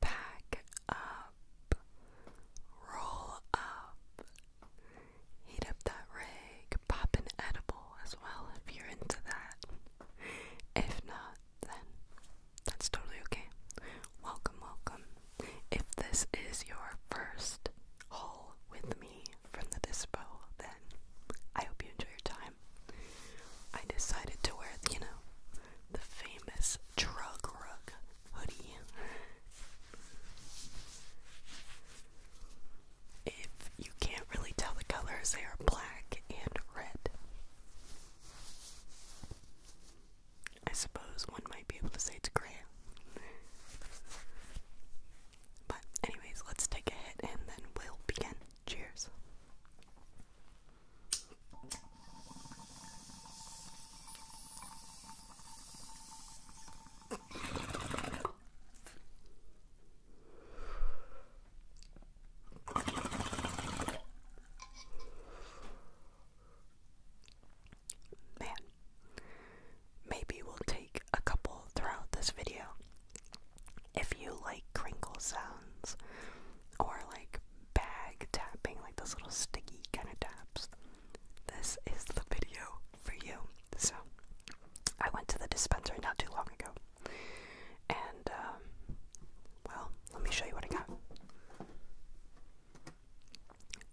Back up, roll up, heat up that rig, pop an edible as well if you're into that. If not, then that's totally okay. Welcome, welcome. If this is your first haul with me from the dispo, then I hope you enjoy your time. I decided to wear, you know, the famous drug rug hoodie. If you can't really tell the colors, they are black and red. I suppose one might be able to say it's gray. But, anyways, let's take a hit and then we'll begin. Cheers. Man, maybe we'll take a couple throughout this video. If you like crinkle sounds or like bag tapping, like those little sticky kind of taps, this is the video for you. So, I went to the dispensary not too long ago, and um, well, let me show you what I got.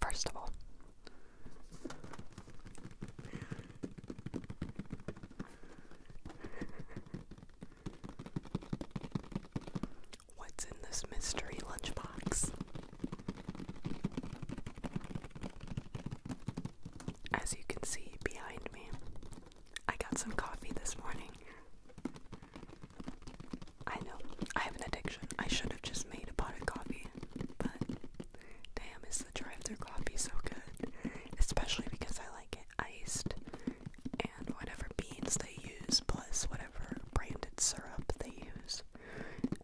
First of all, What's in this mystery lunchbox? As you can see behind me, I got some coffee this morning. I know, I have an addiction. I should have just made a pot of coffee, but damn, is the drive through coffee so good? Especially because I like it iced, and whatever beans they use, plus whatever branded syrup they use,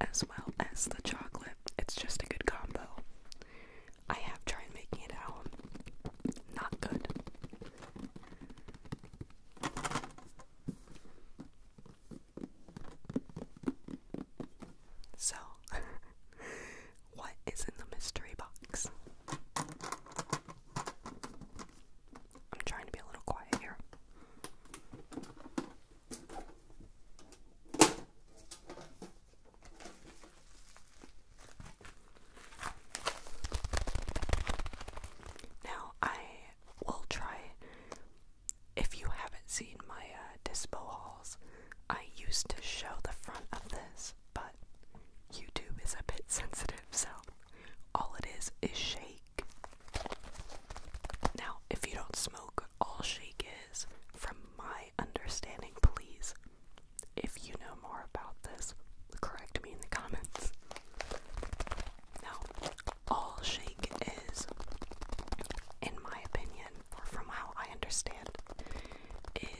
as well as the chocolate. It's just a good combo. I have tried making it at Not good. So, what is in the mystery box? I'm trying to be a little quiet here. Now, I will try. If you haven't seen my uh, dispo hauls, I used to show the front of this but YouTube is a bit sensitive, so all it is is shake. Now, if you don't smoke, all shake is, from my understanding, please, if you know more about this, correct me in the comments. Now, all shake is, in my opinion, or from how I understand,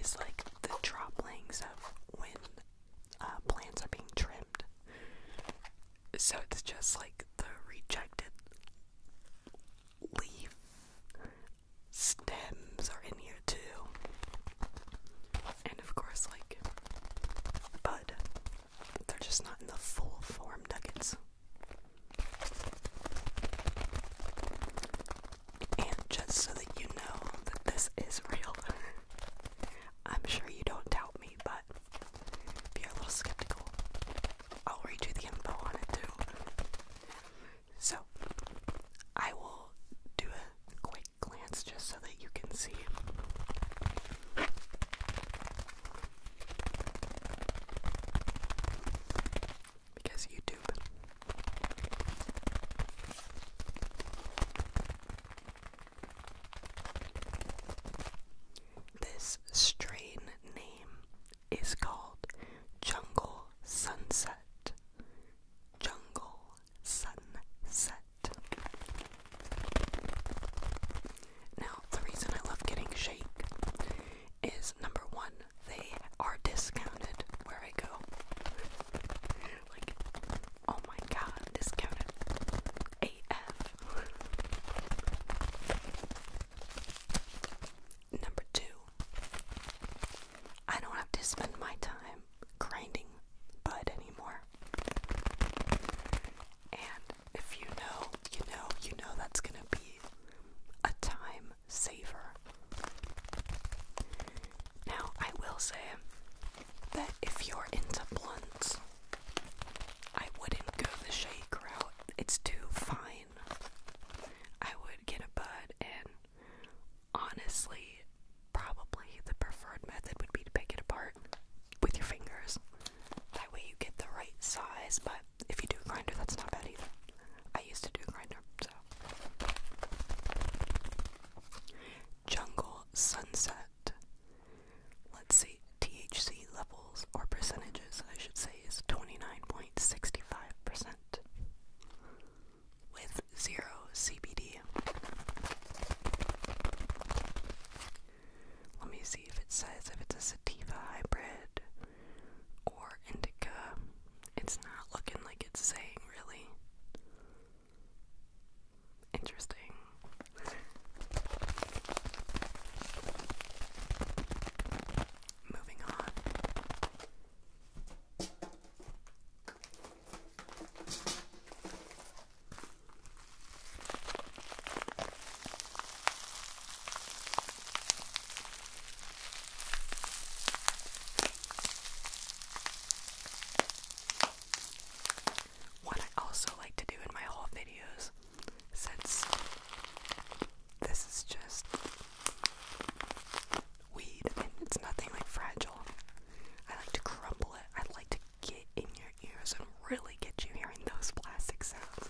is like the droplings of when uh, plants are being trimmed. So it's just like the rejected leaf stems are in here too. And of course, like bud, they're just not in the full form nuggets and just so that you know that this is real. I'm sure you don't doubt me, but you're a little skeptical, I'll read you the info on it too. So, I will do a quick glance just so that you can see because YouTube. This strain name is called Jungle Sunset. Jungle Sunset. Now, the reason I love getting shake is number one, they are discounted where I go. like, oh my god, discounted AF. number two, I don't have to spend my time grinding bud anymore. And if you know, you know, you know that's gonna be a time savor. Now, I will say that if you're into blunts, I wouldn't go the shake route. It's too fine. I would get a bud, and honestly, probably the preferred method would be to pick it apart with your fingers. That way, you get the right size, but if you do grinder, that's not bad either. I used to do grinder, so. Jungle Sunset. Let's see, THC levels or percentages, I should say, is 29.65% with zero CBD. Let me see if it says if it's a sativa hybrid or indica. It's not looking like it's saying really. Interesting. Moving on. What I also like to do in my haul videos, since this is just weed and it's nothing like fragile, I like to crumble it. I like to get in your ears and really get you hearing those plastic sounds.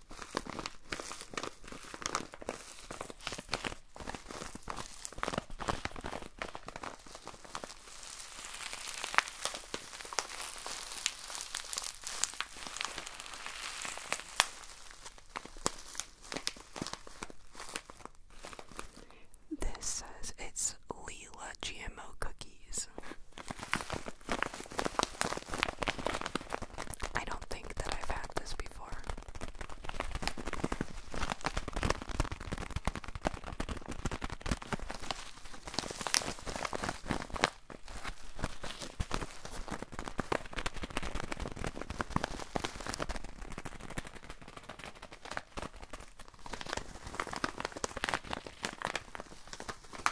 This says it's Leela GMO cookies. I don't think that I've had this before.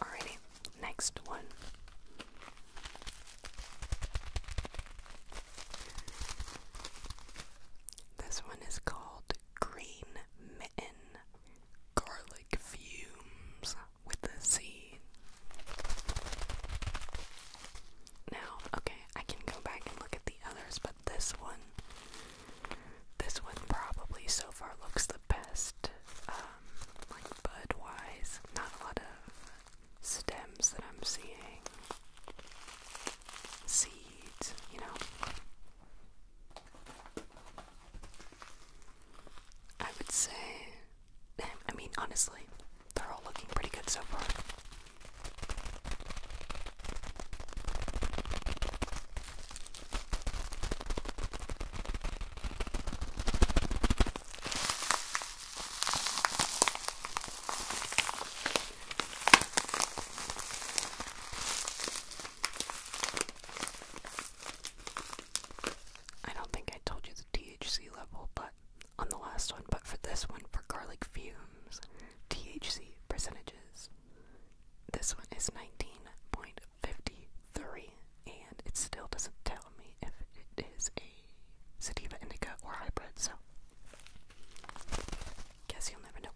Alrighty, next one. This one is called Green Mitten Garlic Fumes with a Z. Now, okay, I can go back and look at the others, but this one this one probably so far looks the best, um, like bud wise. Not a lot of stems that I'm seeing, seeds, you know. I would say, I mean, honestly, they're all looking pretty good so far. I don't think I told you the THC level, but on the last one, but for this one, for garlic fumes, THC percentages this one is 19.53, and it still doesn't tell me if it is a sativa indica or hybrid, so guess you'll never know.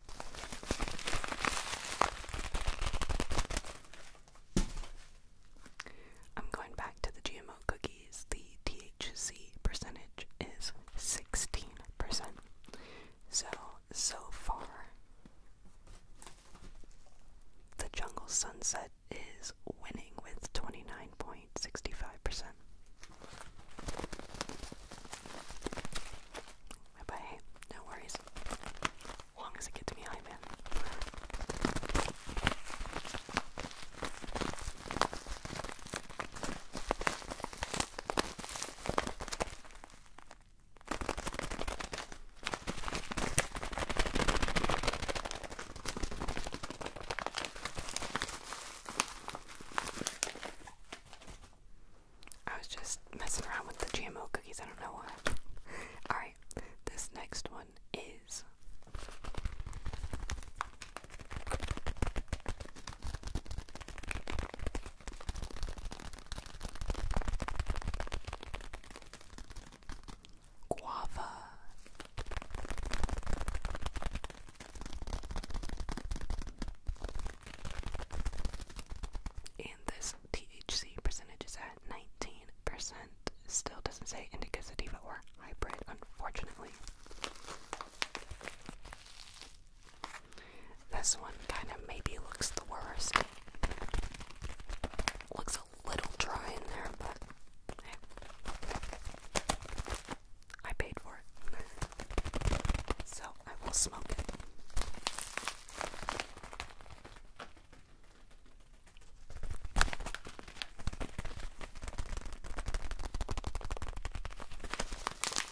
I'm going back to the GMO cookies. The THC percentage is 16%. So, so far, the Jungle Sunset is winning with 29.65%. But hey, no worries. long as it gets me high, man. I was just messing around with the GMO cookies, I don't know why. Alright, this next one is. Guava and this THC percentage is at 19%. Still doesn't say indica sativa or hybrid, unfortunately. This one kind of maybe looks the worst. Looks a little dry in there, but I paid for it. So I will smoke it.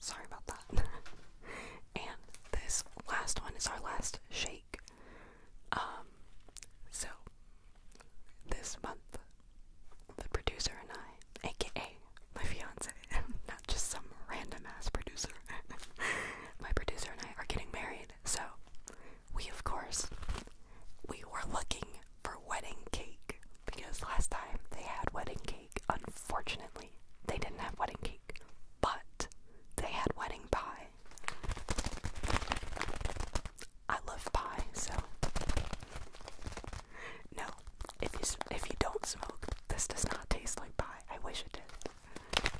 Sorry about that. and this last one is our last shake. Um, so this month, the producer and I, aka my fiance, not just some random ass producer, my producer and I are getting married. So we, of course, we were looking for wedding cake because last time they had wedding cake. Unfortunately, they didn't have wedding cake, but they had wedding pie. I love pie, so no. If you if you don't smoke, this does not taste like pie. I wish it did.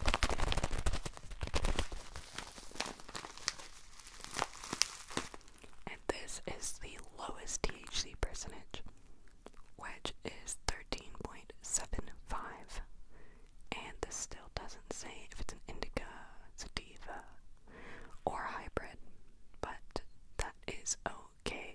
And this is the lowest THC percentage which is 13.75. And this still doesn't say if it's an indica, sativa, or hybrid, but that is okay.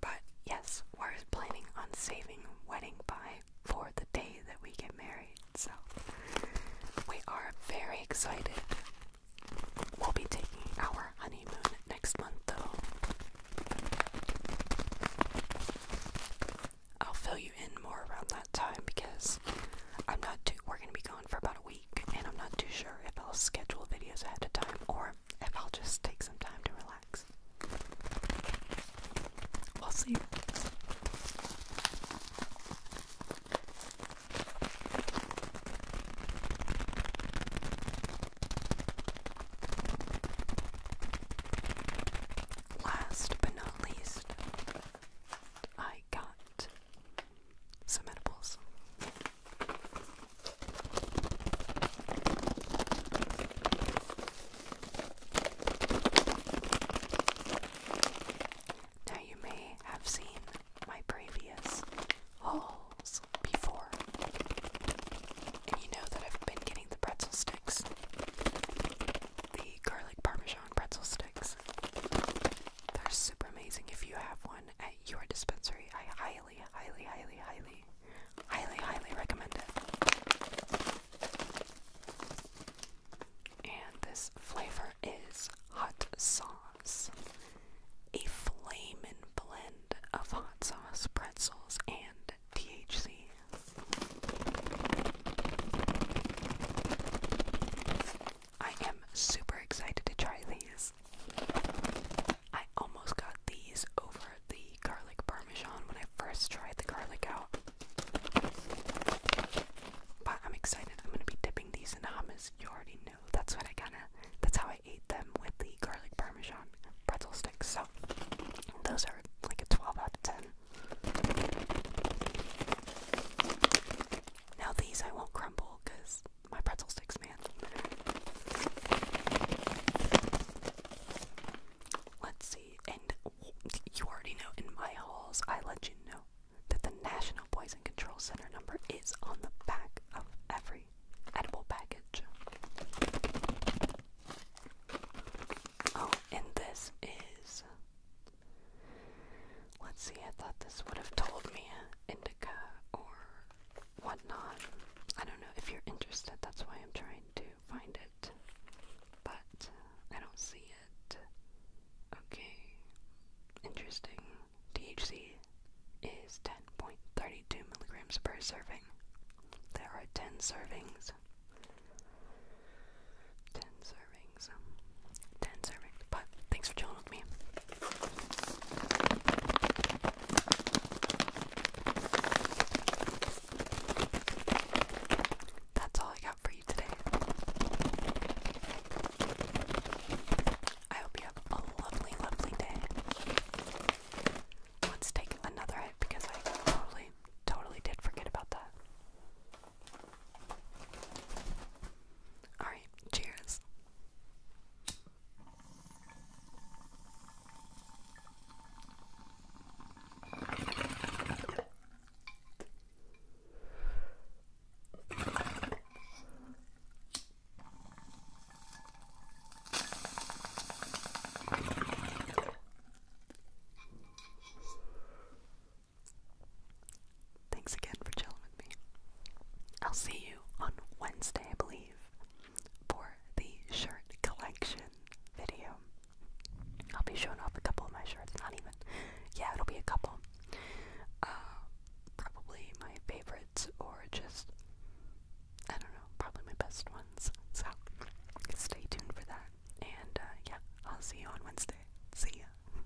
But yes, we're planning on saving wedding pie for the day that we get married, so we are very excited. We'll be taking our honeymoon next month, though. I'll fill you in more around that time because I'm not too. We're gonna be gone for about a week, and I'm not too sure if I'll schedule videos ahead of time or if I'll just take some time to relax. We'll see. Last but not least, I got some edibles. Now, you may have seen my previous hauls before, and you know that I've been getting the pretzel sticks, the garlic parmesan pretzel sticks. They're super amazing if you have one at your dispensary. I highly highly, highly, highly, highly, highly, highly recommend it. And this flavor is hot sauce. A flamin' blend of hot sauce, pretzels, and THC. I am super excited to try these. I almost got these over the garlic parmesan when I first tried the garlic out. But I'm excited. I'm gonna be dipping these in hummus. You already know. That's what I kinda that's how I ate them with the garlic parmesan pretzel sticks. So those are like a 12 out of 10. Now these I won't crumble because my pretzel sticks, man. Let's see. And you already know in my hauls, I let you know that the National Poison Control Center number is on the back of every edible package. Oh, and this is. Let's see, I thought this would have told me, or whatnot. I don't know if you're interested, that's why I'm trying to find it. But uh, I don't see it. Okay, interesting. THC is 10.32 milligrams per serving. There are 10 servings. 10 servings. 10 servings. But thanks for chilling with me. That's all I got for you today. I hope you have a lovely, lovely day. Let's take another hit because I totally, totally did forget about that. Alright, cheers. Thanks again for chilling with me. I'll see you on Wednesday, I believe, for the shirt collection video. I'll be showing off a couple of my shirts, not even. Yeah, it'll be a couple. Uh, probably my favorites or just, I don't know, probably my best ones. So stay tuned for that. And uh, yeah, I'll see you on Wednesday. See ya.